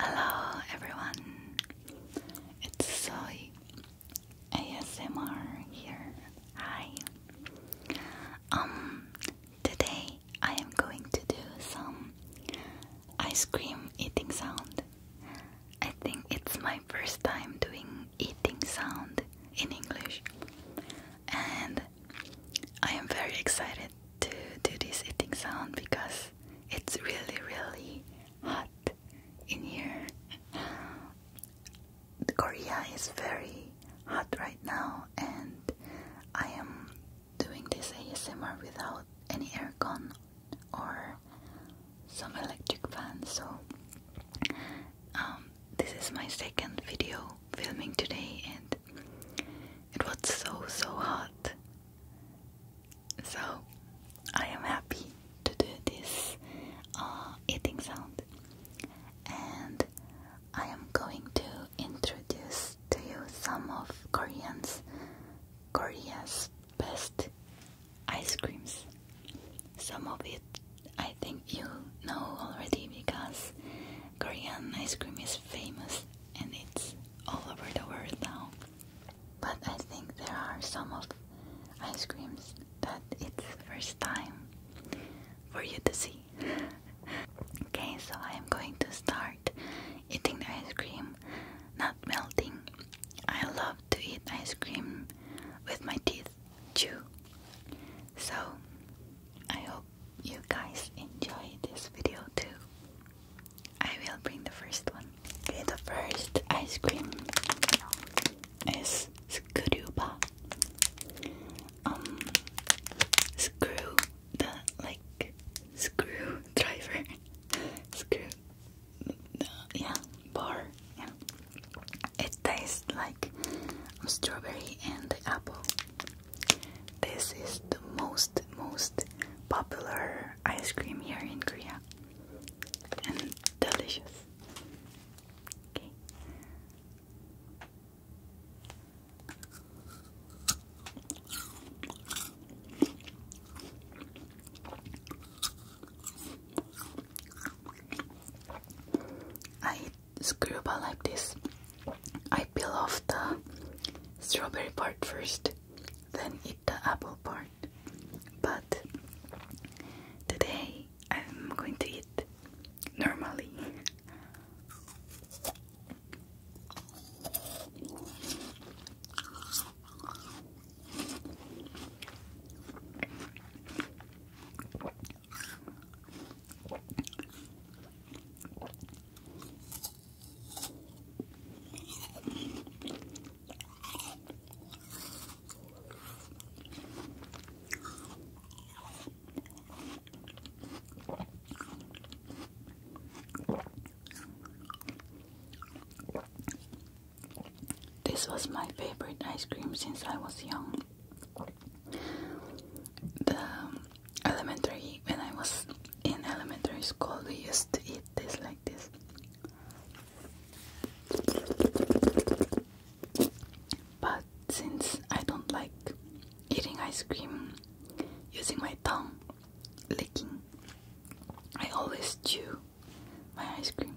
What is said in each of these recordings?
Hello everyone, it's Zoe ASMR here. Hi. Um, today I am going to do some ice cream eating sound. I think it's my first time doing eating sound in English, and I am very excited to do this eating sound because it's really, really hot in here. Korea is very hot right now, and I am doing this ASMR without any aircon or some electric fan. So, um, this is my second video filming today, and it was so, so hot. So I am happy to do this uh, eating sound. And I am going to introduce to you some of Koreans, Korea's best ice creams. Some of it I think you know already because Korean ice cream is famous and it's all over the world now. But I think there are some of ice creams that it's first time for you to see. okay, so I am going to start eating the ice cream, not melting. I love to eat ice cream with my teeth, chew. So I hope you guys enjoy this video too. I will bring the first one. the first ice cream is Skruba. Um, screw the like screwdriver, screw the yeah bar. it tastes like strawberry and apple. This is the most most popular ice cream here in Korea and delicious. Okay. I eat screwball like this. I peel off the strawberry part first then eat the apple part. But today I'm going to eat normally. This was my favorite ice cream since I was young. The um, elementary when I was in elementary school we used to eat this like this but since I don't like eating ice cream using my tongue licking I always chew my ice cream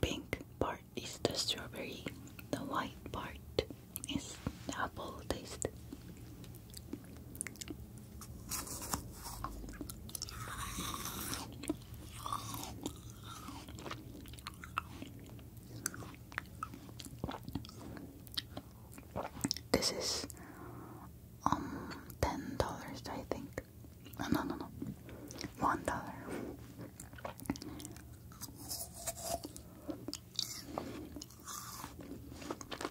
Pink part is the strawberry, the white part is the apple taste. This is um ten dollars I think. no no no one dollar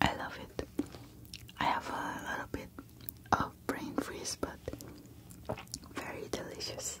I love it. I have a little bit of brain freeze, but very delicious.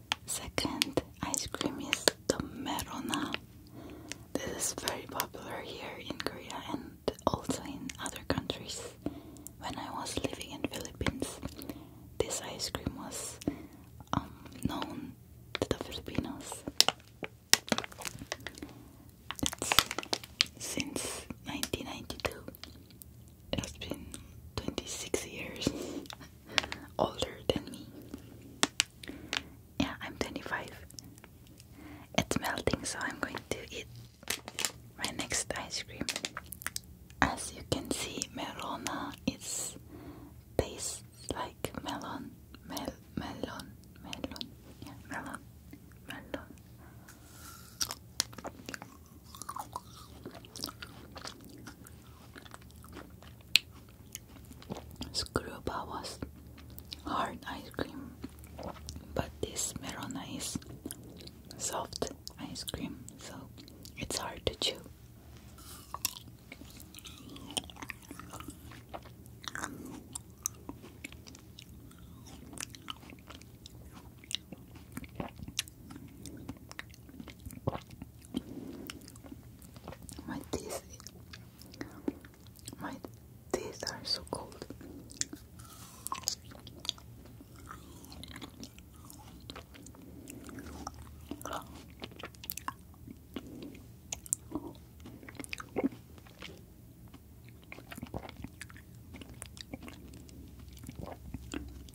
Second ice cream is the merona. This is very popular here in Korea and also in other countries. When I was living in Philippines, this ice cream was um, known to the Filipinos. since 1992. It has been 26 years. older than me. Yeah, I'm 25. It's melting, so I'm going to eat my next ice cream. As you can see, Merona is tastes like melon, mel, melon, melon, yeah, melon, melon. Screwbar was hard ice cream, but this Merona is soft ice cream, so it's hard to chew. My teeth, my teeth are so cold.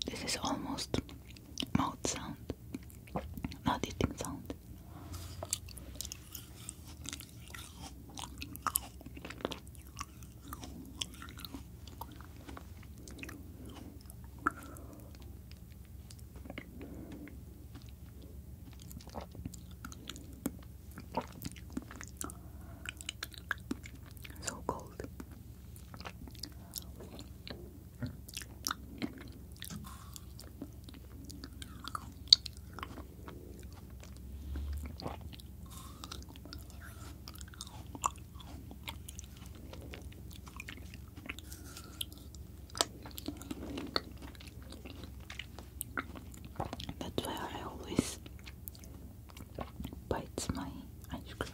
This is almost mouth sound. Not eating sound. So cold. That's why I always bite my ice cream.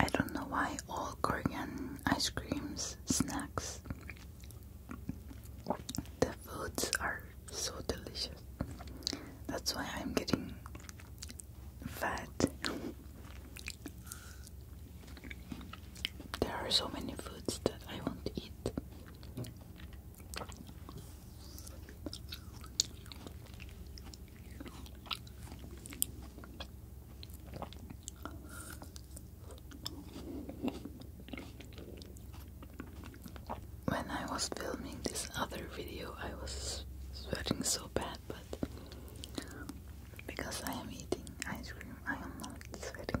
I don't know why all Korean ice creams, snacks, the foods are so delicious. That's why I'm getting fat. There are so many foods that I won't eat. When I was filming this other video, I was sweating so bad, but because I am eating ice cream, I am not sweating.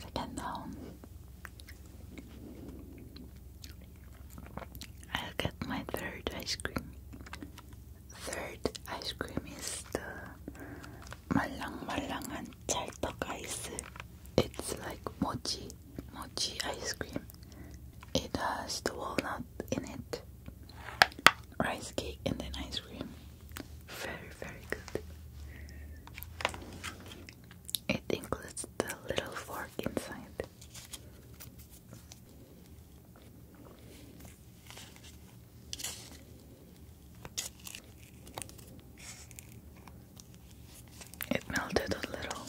Second though, I'll get my third ice cream. Third ice cream is the 말랑말랑한 찰떡 ice. It's like mochi, mochi ice cream. It has the walnut in it, rice cake, and then ice cream. Very, very good. It includes the little fork inside. It melted a little.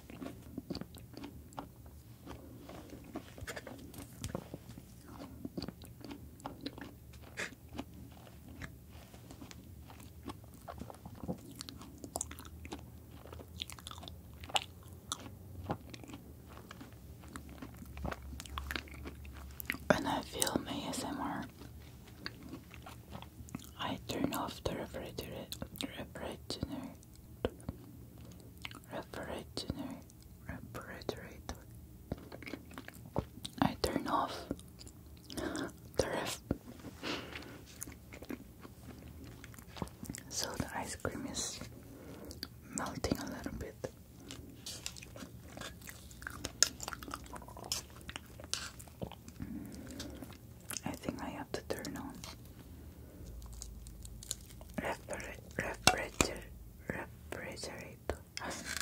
When I film ASMR, I turn off the refrigerator Refrigerator. I turn off the ref so the ice cream is melting a little bit. I think I have to turn on refrigerator. Refrigerator.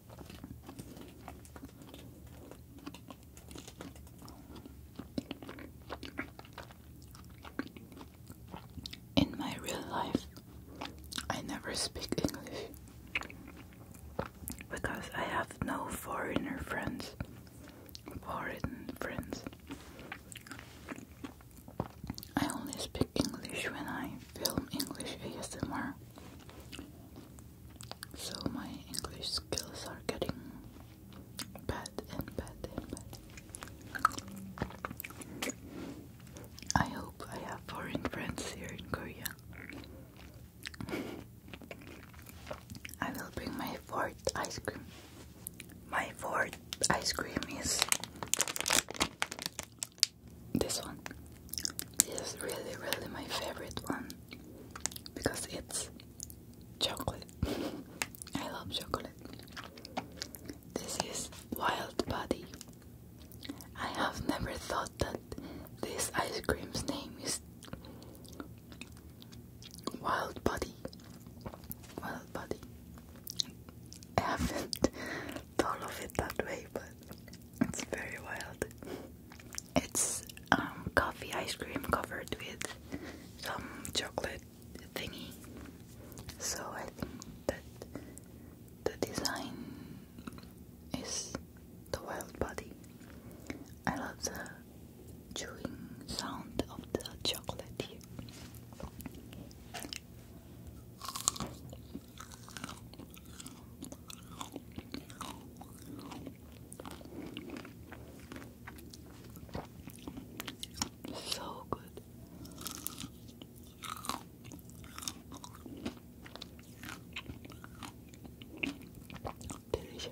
In my real life, I never speak English because I have no foreigner friends. Foreign friends. I only speak English when I film English ASMR. So my English skills are getting bad and bad and bad. I hope I have foreign friends here in Korea. I will bring my fourth ice cream. My fourth ice cream is this one is really really my favorite one because it's chocolate I love chocolate this is wild buddy I have never thought that this ice cream's name is wild buddy wild buddy I haven't thought of it that way but it's very wild. It's um, coffee ice cream covered with some chocolate thingy. So I think that the design is the wild body. I love the chewing sound of the chocolate here. So good. Delicious.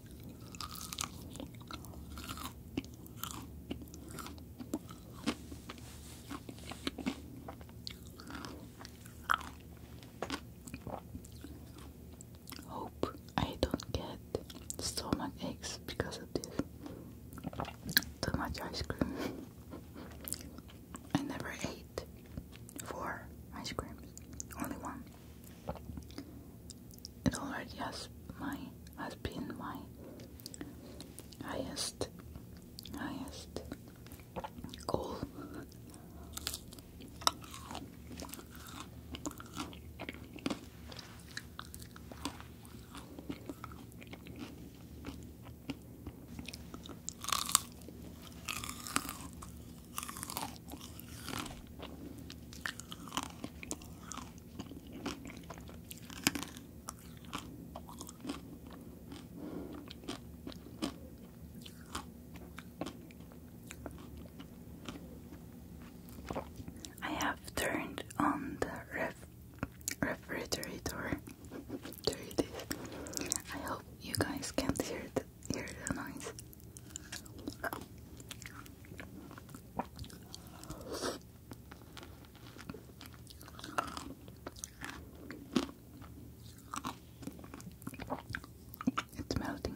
Hope I don't get stomach aches because of this. Too much ice cream. I never ate four ice creams, only one. It already has my has been my highest highest goal. I have turned on the ref refrigerator. I hope you guys can't hear the hear the noise. It's melting.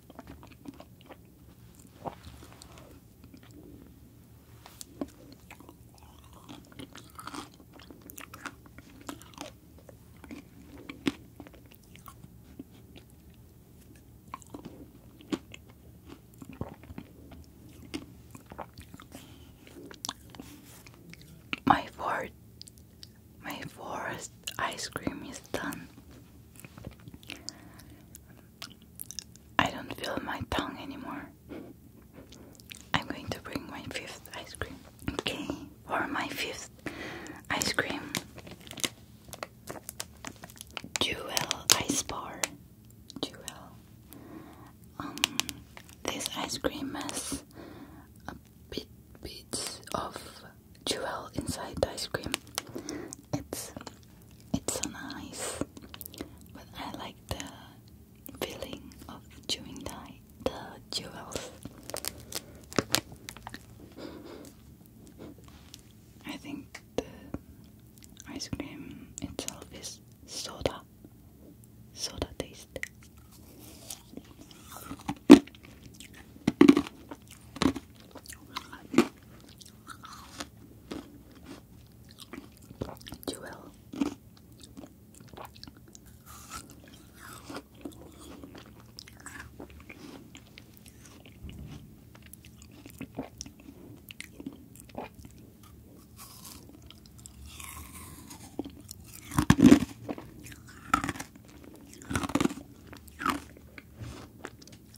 My fourth, my fourth ice cream is done. I don't feel my tongue anymore. I'm going to bring my fifth ice cream. Okay, for my fifth ice cream, Jewel Ice Bar. Jewel. Um, this ice cream has a bit bits of jewel inside the ice cream. It's it's so nice, but I like the feeling of chewing the the jewels. I think the ice cream itself is soda, soda taste. Jewel.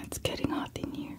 It's getting hot in here.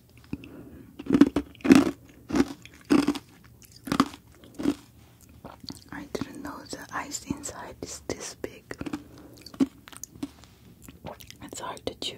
I didn't know the ice inside is this big. It's hard to chew.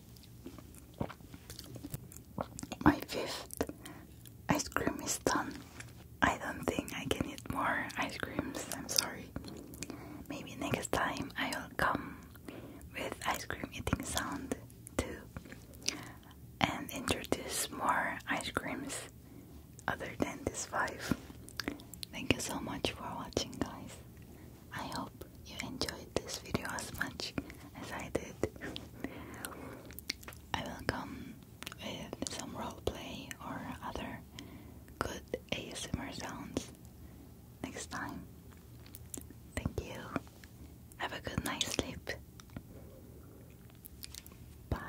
My fifth ice cream is done. I don't think I can eat more ice creams. I'm sorry. Maybe next time I will come with ice cream eating sound too and introduce more ice creams other than these five. Thank you so much for watching, guys. I hope you enjoyed this video as much as I did. I will some roleplay or other good ASMR sounds next time. Thank you. Have a good night's sleep. Bye.